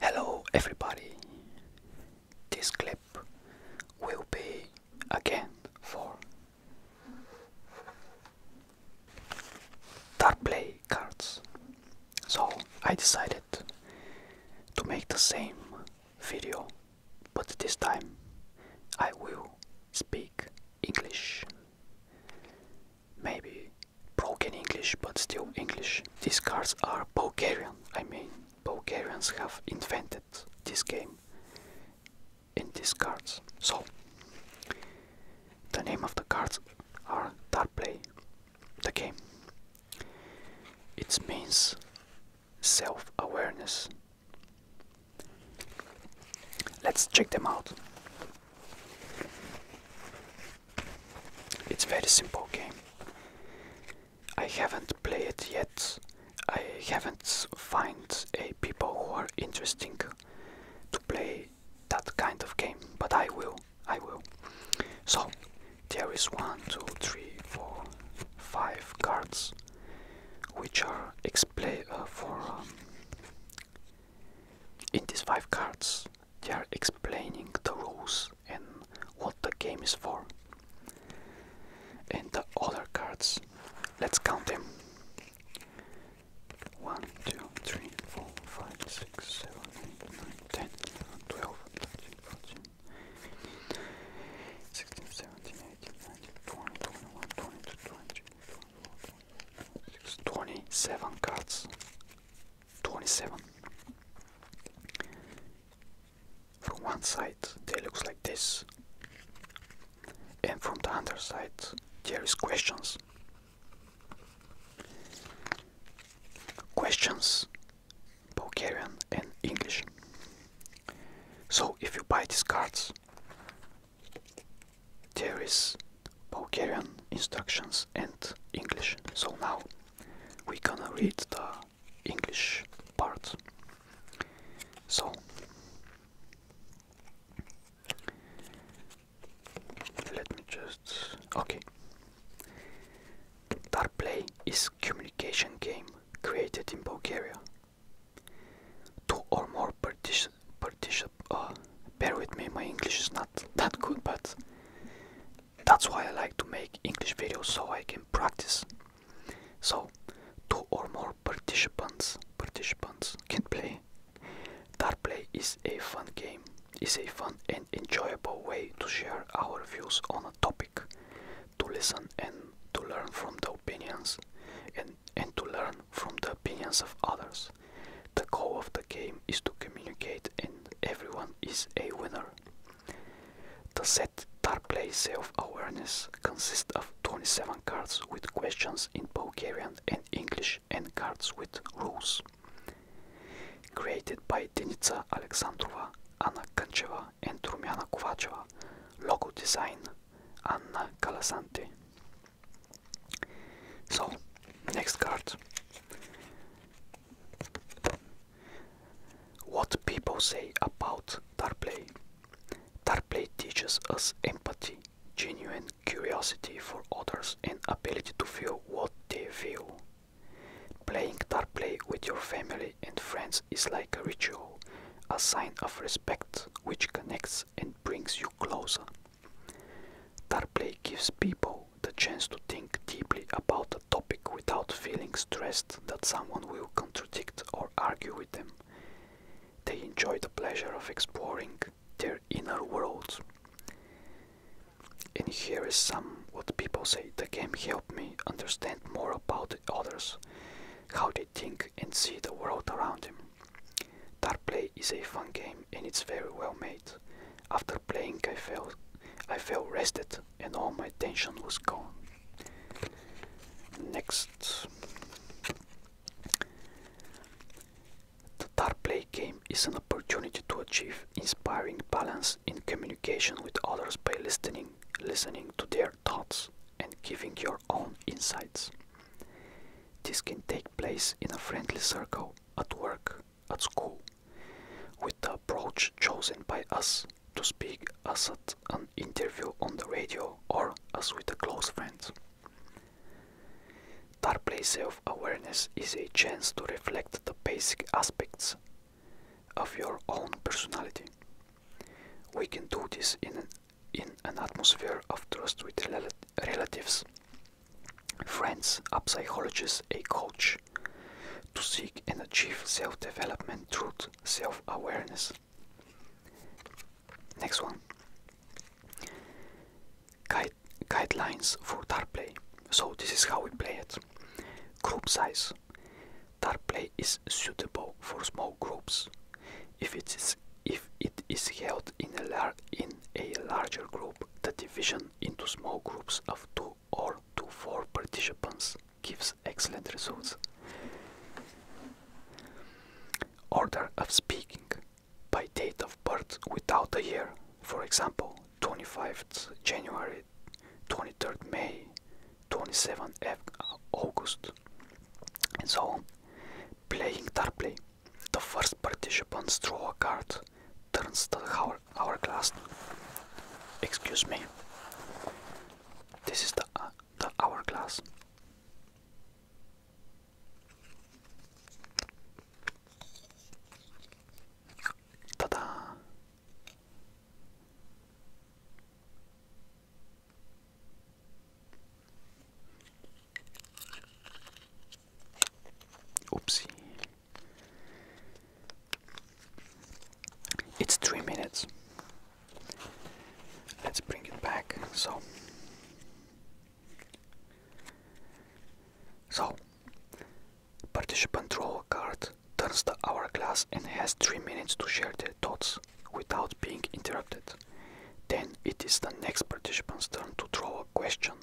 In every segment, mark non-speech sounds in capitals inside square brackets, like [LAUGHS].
Hello, everybody. This clip will be again for Dark Play cards. So I decided to make the same video but this time I will speak English. Maybe broken English, but still English. These cards are Bulgarian, I mean, Bulgarians have invented this game and these cards. So, the name of the cards are Tarplay, the game. It means self awareness Let's check them out. It's very simple game. I haven't played it yet. I haven't found a people who are interesting to play that kind of game, but I will. I will. So there is one, two, three, four, five cards which are explain uh, for um, in these five cards they are explaining the rules and what the game is for and the other cards let's count them 1 2 3 4 5 6 7 8 9 10 11, 12 13 14 15 16 17 27 cards. 27. From one side they looks like this. And from the other side there is questions. Questions Bulgarian and English. So if you buy these cards there is Bulgarian instructions and English. So now we gonna read the English part. So let me just okay. Dark play is communication game created in Bulgaria Two or more partition, partition. Uh, bear with me, my English is not that good, but that's why I like to make English videos so I can practice. So, two or more participants, participants can play. Dart play is a fun game. Is a fun and enjoyable way to share our views on a topic to listen and to learn from the opinions and, and to learn from the opinions of others. The goal of the game is to communicate and everyone is a winner. The set Tarplay Self-Awareness consists of 27 cards with questions in Bulgarian and English and cards with rules. Created by Denitsa Alexandrova, Anna Kancheva and Rumiana Kovačeva, logo design Anna Kalasanti. So, next card. What people say about Tarplay. Tarplay teaches us empathy, genuine curiosity for others, and ability to feel what they feel. Playing Tarplay with your family and friends is like a ritual, a sign of respect which connects and brings you closer. Tarplay gives people the chance to think deeply about a topic without feeling stressed that someone will contradict or argue with them. They enjoy the pleasure of exploring their inner worlds. And here is some what people say the game helped me understand more about the others, how they think and see the world around him. Dart Play is a fun game and it's very well made. After playing I felt I felt rested and all my tension was gone. Next The Dart Play game is an opportunity to achieve inspiring balance in communication with others by listening listening to their thoughts and giving your own insights. This can take place in a friendly circle, at work, at school, with the approach chosen by us to speak as at an interview on the radio or as with a close friend. That place of awareness is a chance to reflect the basic aspects of your own personality. We can do this in an in an atmosphere of trust with relatives, friends, a psychologist, a coach, to seek and achieve self development through self awareness. Next one Guide guidelines for dart play. So, this is how we play it group size. Tarplay is suitable for small groups. If it is, if it is held in a, larger group, the division into small groups of 2 or two 4 participants gives excellent results. Order of speaking by date of birth without a year, for example, 25th January, 23rd May, 27 August. And so, playing Tarplay, the first participants draw a card, turns the hour hourglass. Excuse me. This is the, uh, the hourglass. Ta-da! Oopsie. It's three minutes. Let's bring it back. So, so participant draw a card, turns the hourglass, and has three minutes to share their thoughts without being interrupted. Then it is the next participant's turn to throw a question,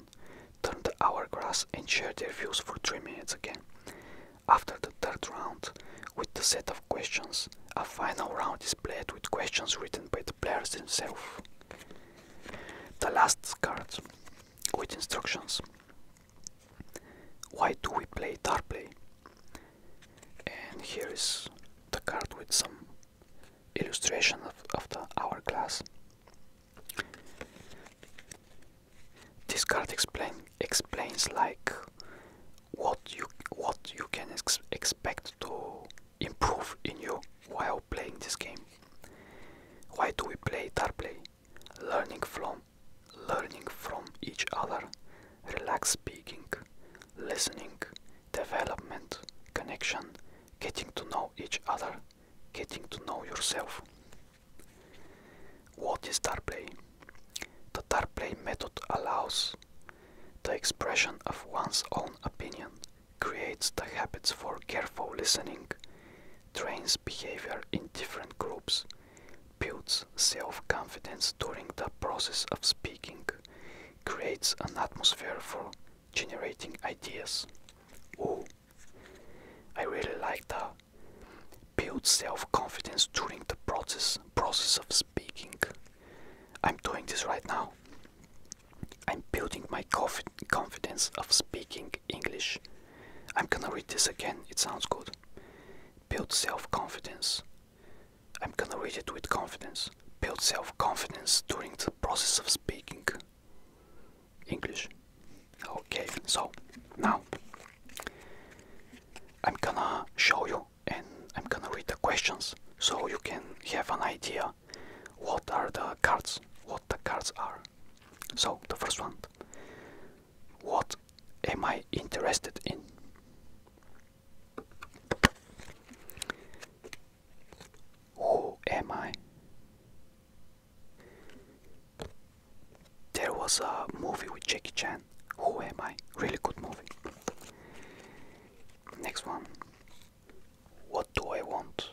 turn the hourglass and share their views for 3 minutes again. After the third round, with the set of questions, a final round is played with questions written by the players themselves. The last card with instructions. Why do we play Tarplay? and here is the card with some illustration of, of the hourglass this card explain explains like what you what you can expect to improve in you while playing this game why do we play tarplay learning from learning from each other Relax, speaking, listening, development, connection, getting to know each other, getting to know yourself. What is Tarplay? The Tarplay method allows the expression of one's own opinion, creates the habits for careful listening, trains behavior in different groups, builds self confidence during the process of speaking, creates an atmosphere for generating ideas. Oh, I really like that. Build self confidence during the process process of speaking. I'm doing this right now. I'm building my confidence of speaking English. I'm gonna read this again, it sounds good. Build self confidence I'm gonna read it with confidence. Build self confidence during the process of speaking English. Okay, so now I'm gonna show you and I'm gonna read the questions so you can have an idea what are the cards, what the cards are. So the first one. What am I interested in? Who am I? There was a movie with Jackie Chan. Who am I? Really good movie. Next one. What do I want?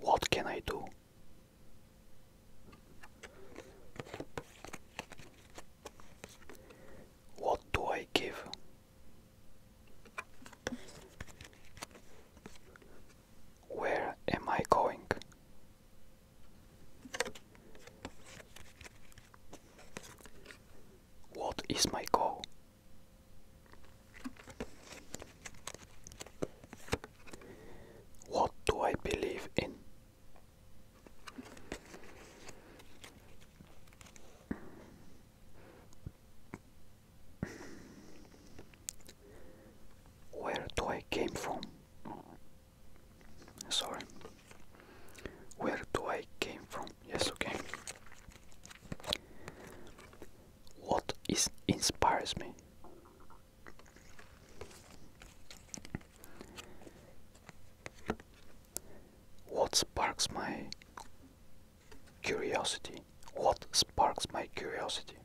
What can I do? What do I give? Where am I going? What is my goal? What do I believe in? Where do I came from? Sorry. Where do I came from? Yes, okay. What is inspires me? What sparks my curiosity? What sparks my curiosity?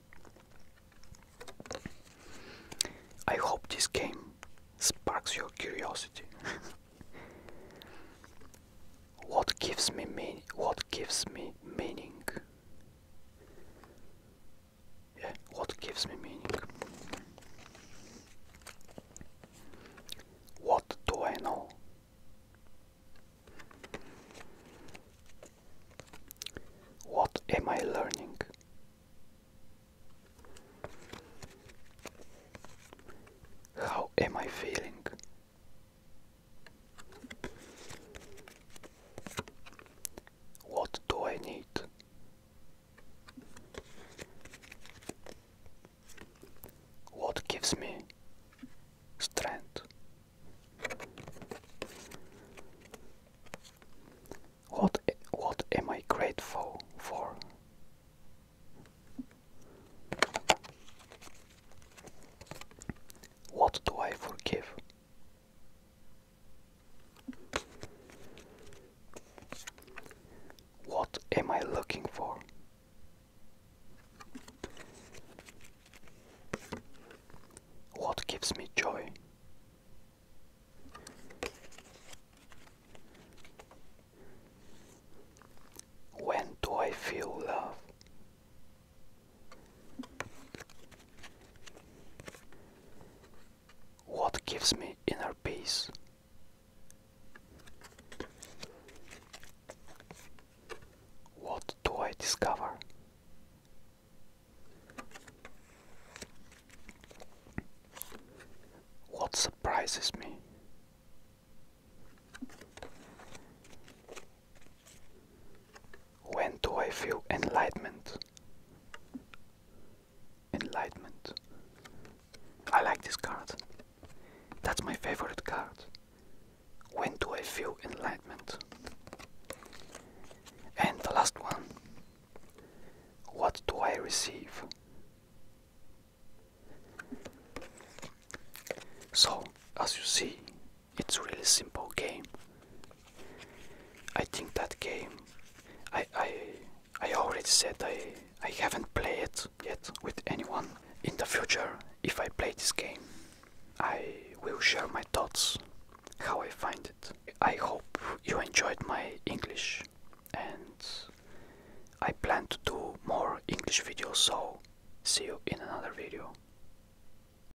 I hope this game sparks your curiosity. [LAUGHS] what gives me mean what gives me meaning? Yeah, what gives me meaning? What do I know? What am I learning? How am I feeling? What do I need? What gives me strength? What what am I grateful for? What do I forgive? What am I looking for? What gives me joy? When do I feel love? What gives me inner peace? What do I discover? What surprises me? When do I feel enlightenment? Enlightenment. I like this card. That's my favorite card. When do I feel enlightenment? And the last one. What do I receive? So, as you see, it's a really simple game. I think that game I I I already said I I haven't played it yet with anyone. In the future, if I play this game, I will share my thoughts, how I find it. I hope you enjoyed my English and I plan to do more English videos so see you in another video.